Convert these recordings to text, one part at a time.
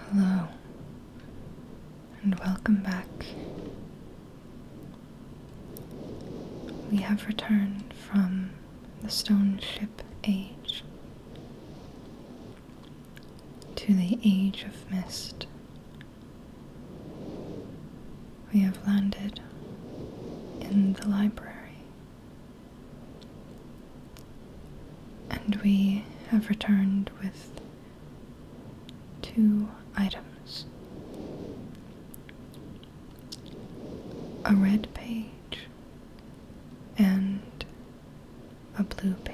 Hello, and welcome back. We have returned from the stone ship age to the age of mist. We have landed in the library. And we have returned with two items a red page and a blue page.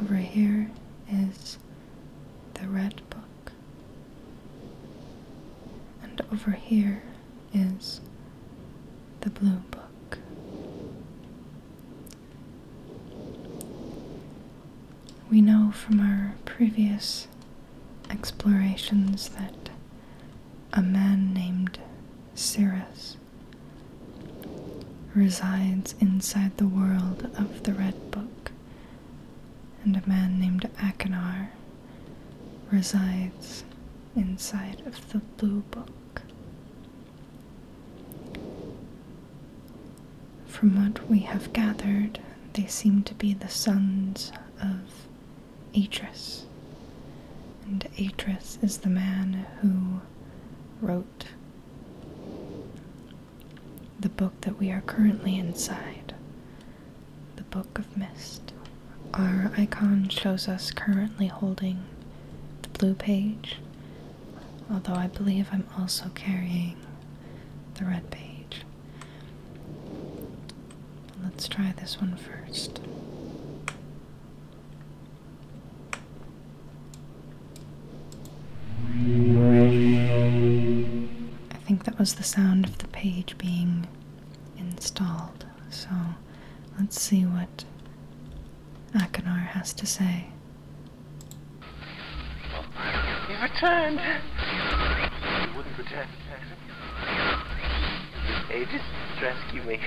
Over here is the red book, and over here is the blue book. We know from our previous explorations that a man named Cirrus resides inside the world of the Red Book, and a man named Akinar resides inside of the Blue Book. From what we have gathered, they seem to be the sons of Atreus. And Atreus is the man who wrote the book that we are currently inside, the Book of Mist. Our icon shows us currently holding the blue page, although I believe I'm also carrying the red page. Let's try this one first. I think that was the sound of the page being installed, so let's see what Akinar has to say. You've returned. You wouldn't return. Aegis, rescue me.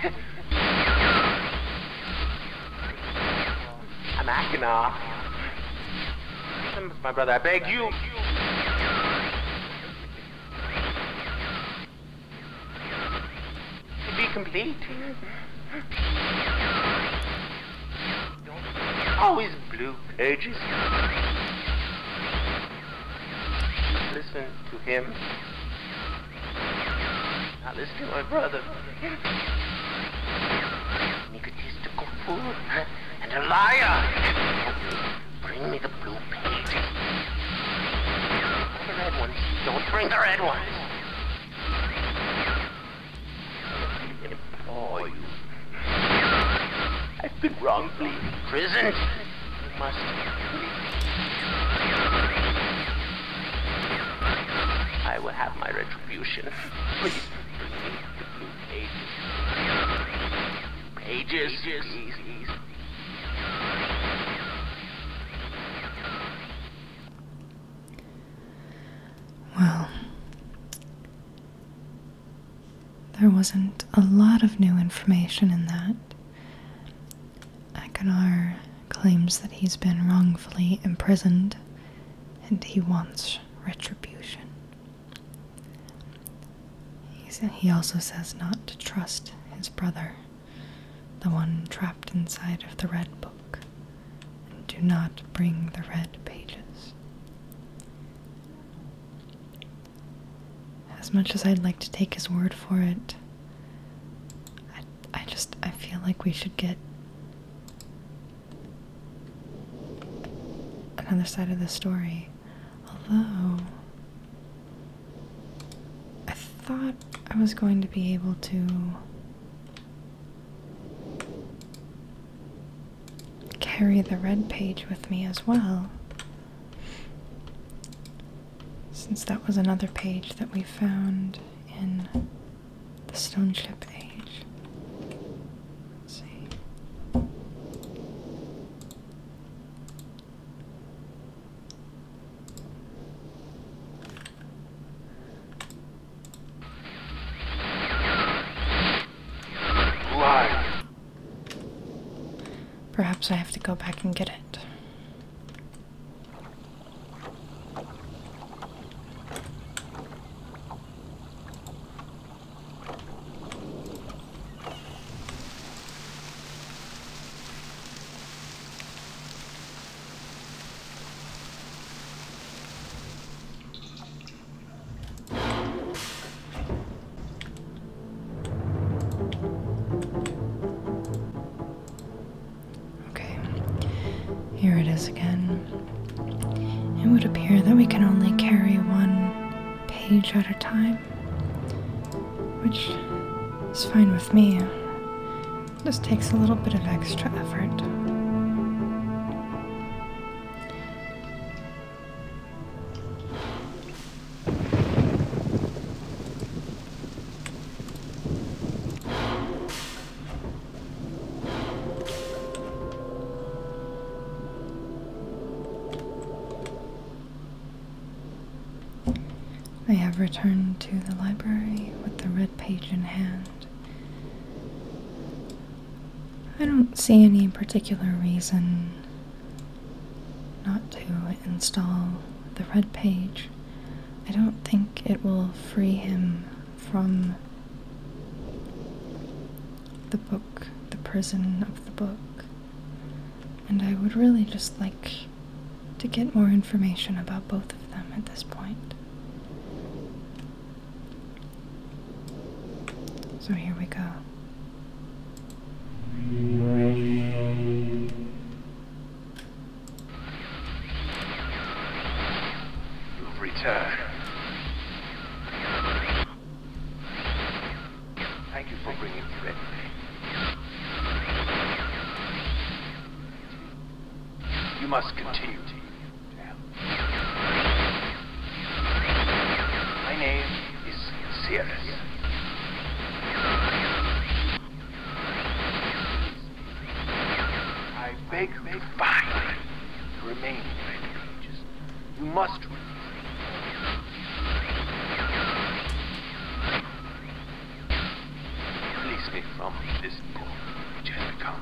I'm Akinar. My brother, I beg you. To be complete. Always blue pages. Listen to him. Now listen to my brother. An egotistical fool and a liar. Bring me the blue pages. The red ones. Don't bring the red ones. Oh, I've been wrongly imprisoned. must. I will have my retribution. Please bring the blue pages. Well, there wasn't a lot of new information in that. Akinar claims that he's been wrongfully imprisoned and he wants retribution. He also says not to trust his brother, the one trapped inside of the Red Book, and do not bring the Red Pages. As much as I'd like to take his word for it, I, I just, I feel like we should get another side of the story. Although, I thought I was going to be able to carry the red page with me as well, since that was another page that we found in the stone ship age. see. Perhaps I have to go back and get it. Okay, here it is again. It would appear that we can only carry one page at a time, which is fine with me. just takes a little bit of extra effort. I have returned to the library with the red page in hand. I don't see any particular reason not to install the red page. I don't think it will free him from the book, the prison of the book. And I would really just like to get more information about both of them at this point. So here we go. You've returned. Thank you for bringing Fred. You must continue. My name is Cirrus. I beg you finally remain You must release me from this pool which has become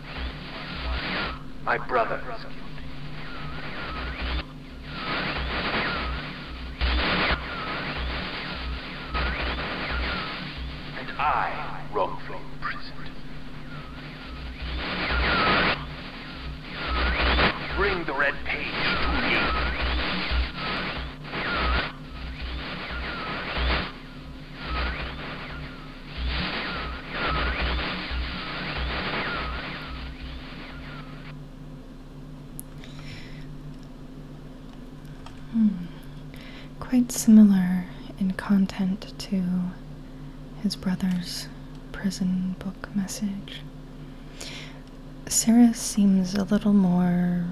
My brother is guilty. And I wrongfully imprisoned. Bring the red page to me. Hmm. Quite similar in content to his brother's prison book message. Sarah seems a little more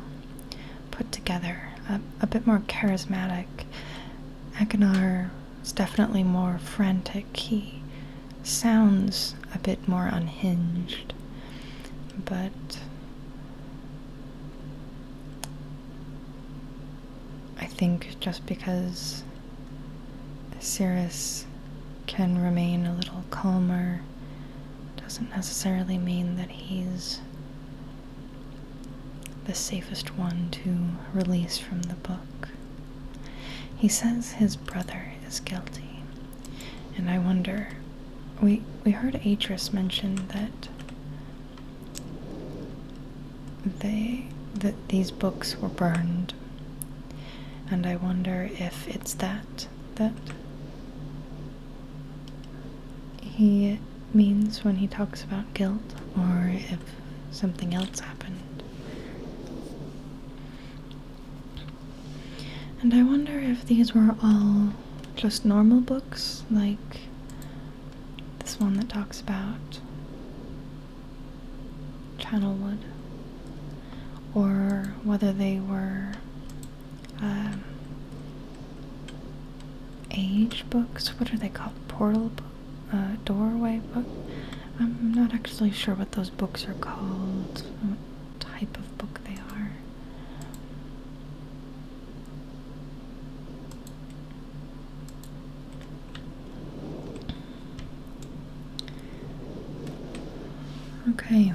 put together, a, bit more charismatic. Akinar it's definitely more frantic. He sounds a bit more unhinged, but I think just because Cirrus can remain a little calmer doesn't necessarily mean that he's the safest one to release from the book. He says his brother is guilty. And I wonder we we heard Atris mention that they that these books were burned. And I wonder if it's that that he means when he talks about guilt or if something else happened. And I wonder if these were all just normal books, like this one that talks about Channelwood, or whether they were um, age books. What are they called? Portal books? uh, doorway book. I'm not actually sure what those books are called, what type of book they are. Okay.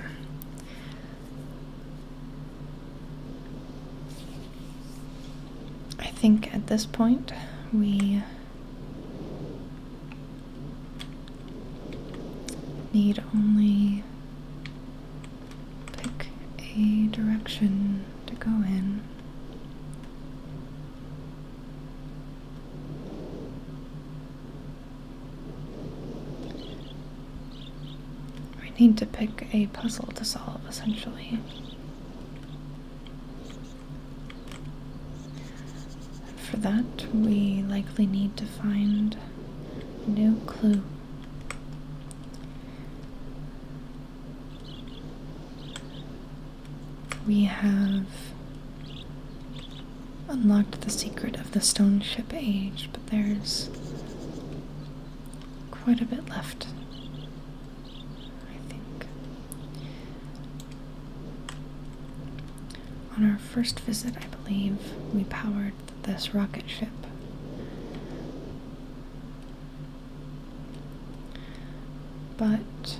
I think at this point we need only pick a direction to go in. We need to pick a puzzle to solve, essentially. And for that, we likely need to find new clue. We have unlocked the secret of the stone ship age, but there's quite a bit left. On our first visit, I believe, we powered this rocket ship. But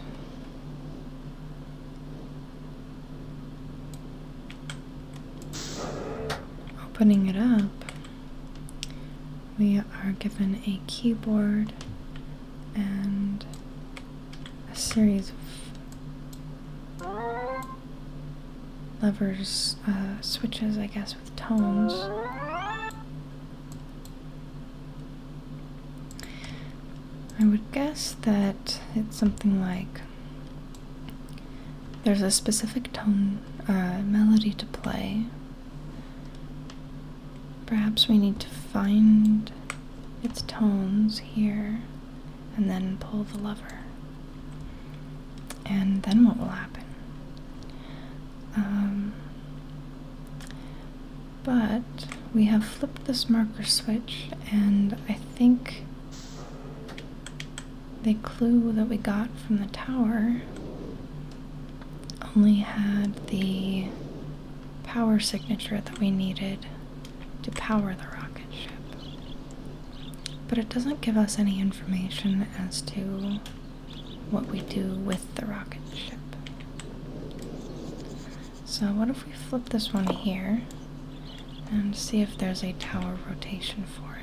opening it up, we are given a keyboard and a series of levers, uh, switches, I guess, with tones. I would guess that it's something like there's a specific tone uh, melody to play, Perhaps we need to find its tones here and then pull the lever. And then what will happen? Um, but we have flipped this marker switch, and I think the clue that we got from the tower only had the power signature that we needed to power the rocket ship. But it doesn't give us any information as to what we do with the rocket ship. So, what if we flip this one here and see if there's a tower rotation for it?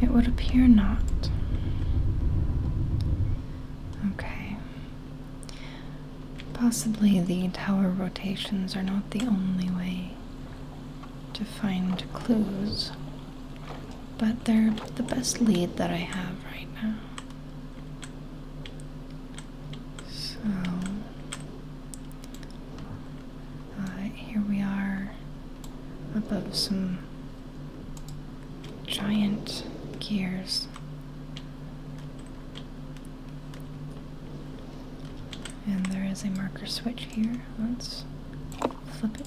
It would appear not. Okay. Possibly the tower rotations are not the only way to find clues, but they're the best lead that I have right now. So here we are above some giant gears. And there is a marker switch here. Let's flip it.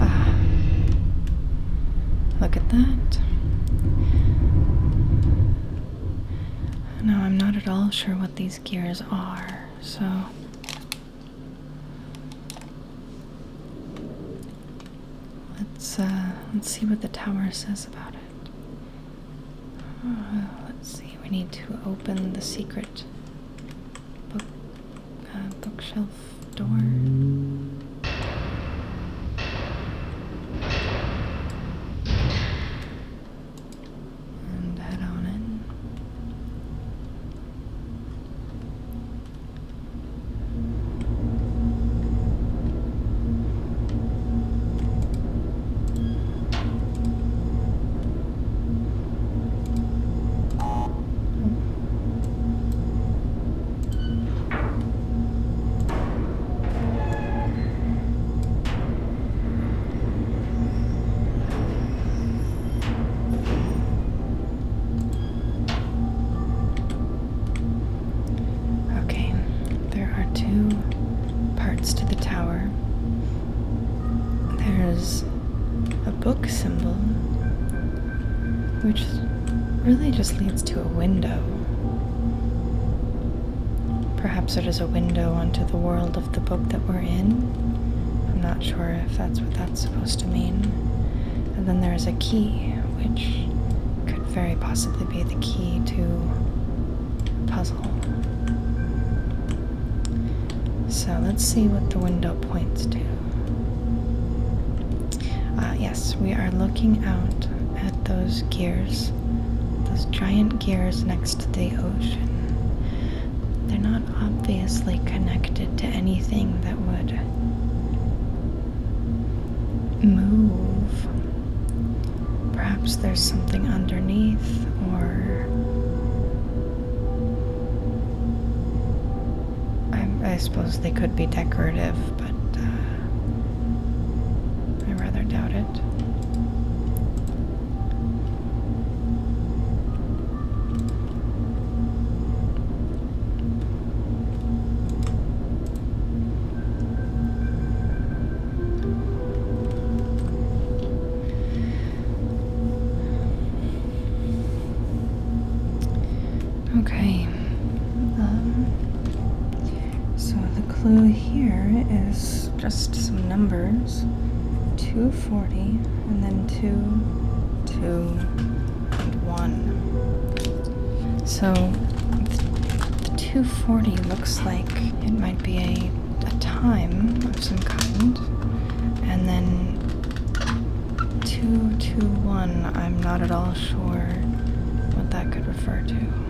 Ah, look at that. Now, I'm not at all sure what these gears are, so. Let's uh, let's see what the tower says about it. Uh, let's see. We need to open the secret book uh, bookshelf door. And head on in. Oh. Okay, there are two parts to the tower. There's a book symbol, which really just leads to a window. Perhaps it is a window onto the world of the book that we're in. I'm not sure if that's what that's supposed to mean. And then there is a key, which could very possibly be the key to a puzzle. So let's see what the window points to. Uh, yes, we are looking out at those gears, those giant gears next to the ocean. They're not obviously connected to anything that would move. Perhaps there's something underneath, or I, suppose they could be decorative, but uh, I rather doubt it. Okay. Um, so the clue here is just some numbers 240 and then 2, 2, and 1. So the 240 looks like it might be a, a time of some kind, and then 221, I'm not at all sure what that could refer to.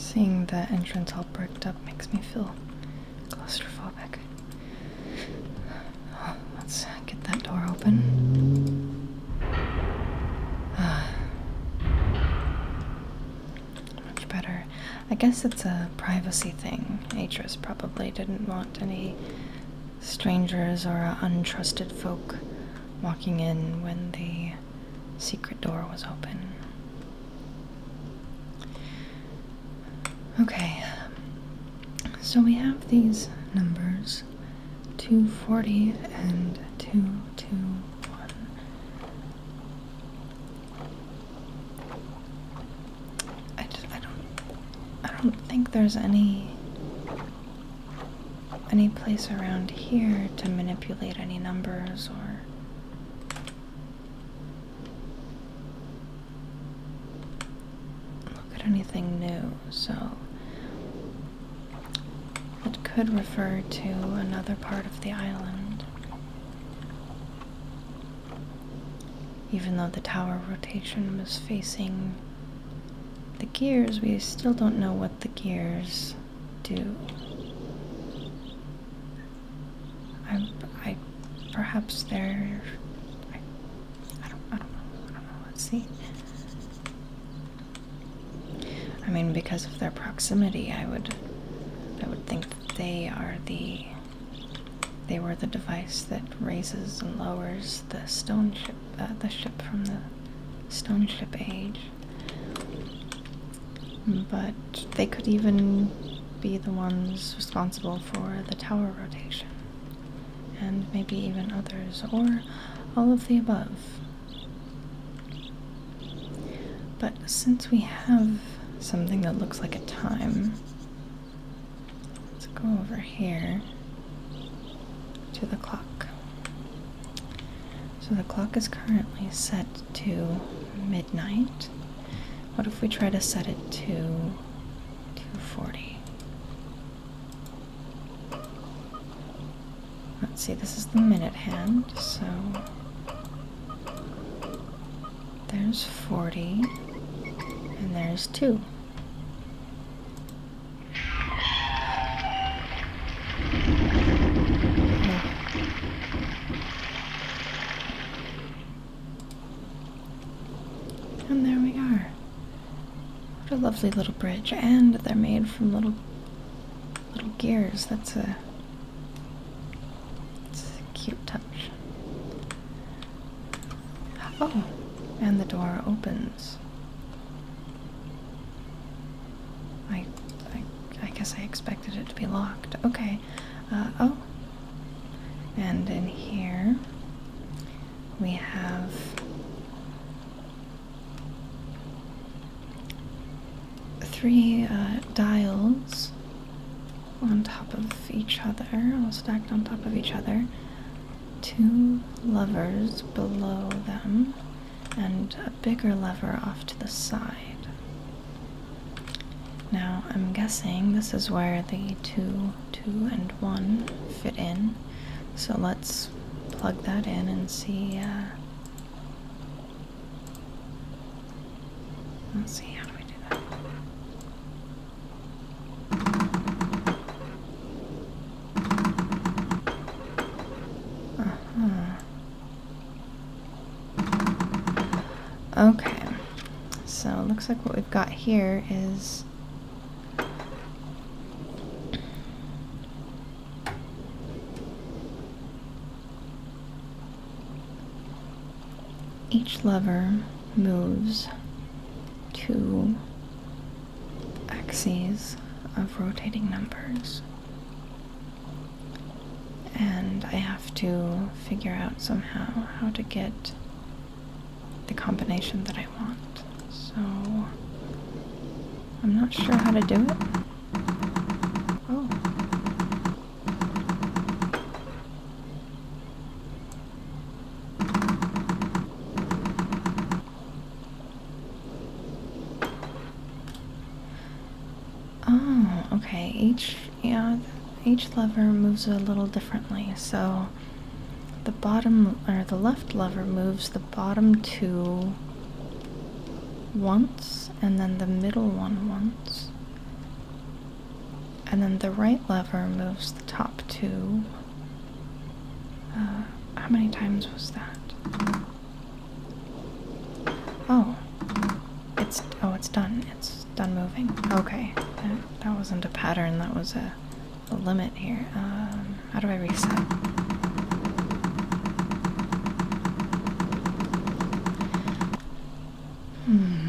Seeing the entrance all bricked up makes me feel claustrophobic. Let's get that door open. Ah. Much better. I guess it's a privacy thing. Atris probably didn't want any strangers or untrusted folk walking in when the secret door was open. Okay. So we have these numbers 240 and 221. I just I don't I don't think there's any any place around here to manipulate any numbers or look at anything new, so it could refer to another part of the island. Even though the tower rotation was facing the gears, we still don't know what the gears do. I, I perhaps they're. I, I don't. I don't know. I don't know. Let's see. I mean, because of their proximity, I would. I would think that they are the. They were the device that raises and lowers the stone ship. Uh, the ship from the stone ship age. But they could even be the ones responsible for the tower rotation, and maybe even others, or all of the above. But since we have something that looks like a time, let's go over here to the clock. So the clock is currently set to Night. What if we try to set it to 240? Let's see, this is the minute hand, so there's 40 and there's 2. And there we are. What a lovely little bridge. And they're made from little little gears. That's a, that's a cute touch. Oh, and the door opens. I, I, guess I expected it to be locked. Okay. Uh, oh, and in here we have three uh, dials on top of each other, all stacked on top of each other, two levers below them, and a bigger lever off to the side. Now I'm guessing this is where the 2, 2 and 1 fit in. So let's plug that in and see uh, Let's see how do we do that. uh Okay, so it looks like what we've got here is each lever moves two axes of rotating numbers and I have to figure out somehow how to get the combination that I want. So I'm not sure how to do it. Oh. Oh, okay. Each yeah, each lever moves a little differently. So the bottom or the left lever moves the bottom two once and then the middle one once. And then the right lever moves the top two. Uh, how many times was that? Oh. It's oh, it's done. It's done moving. Okay, that, wasn't a pattern, that was a, limit here. Um, how do I reset? Hmm.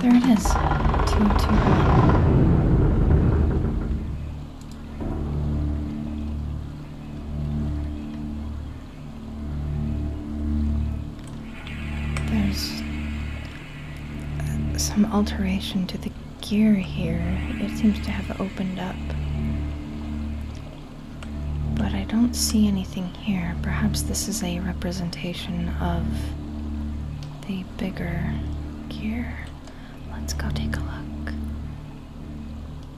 There it is. Two, two. There's uh, some alteration to the gear here. It seems to have opened up. But I don't see anything here. Perhaps this is a representation of the bigger gear. Let's go take a look.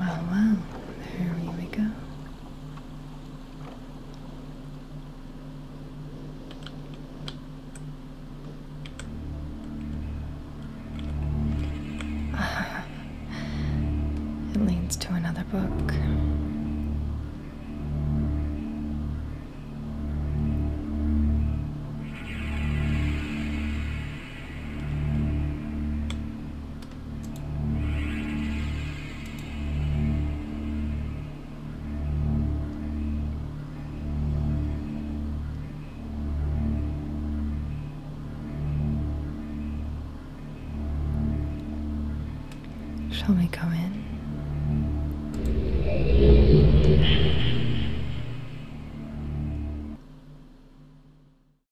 Well, well, there we go. it leads to another book. Shall we go in?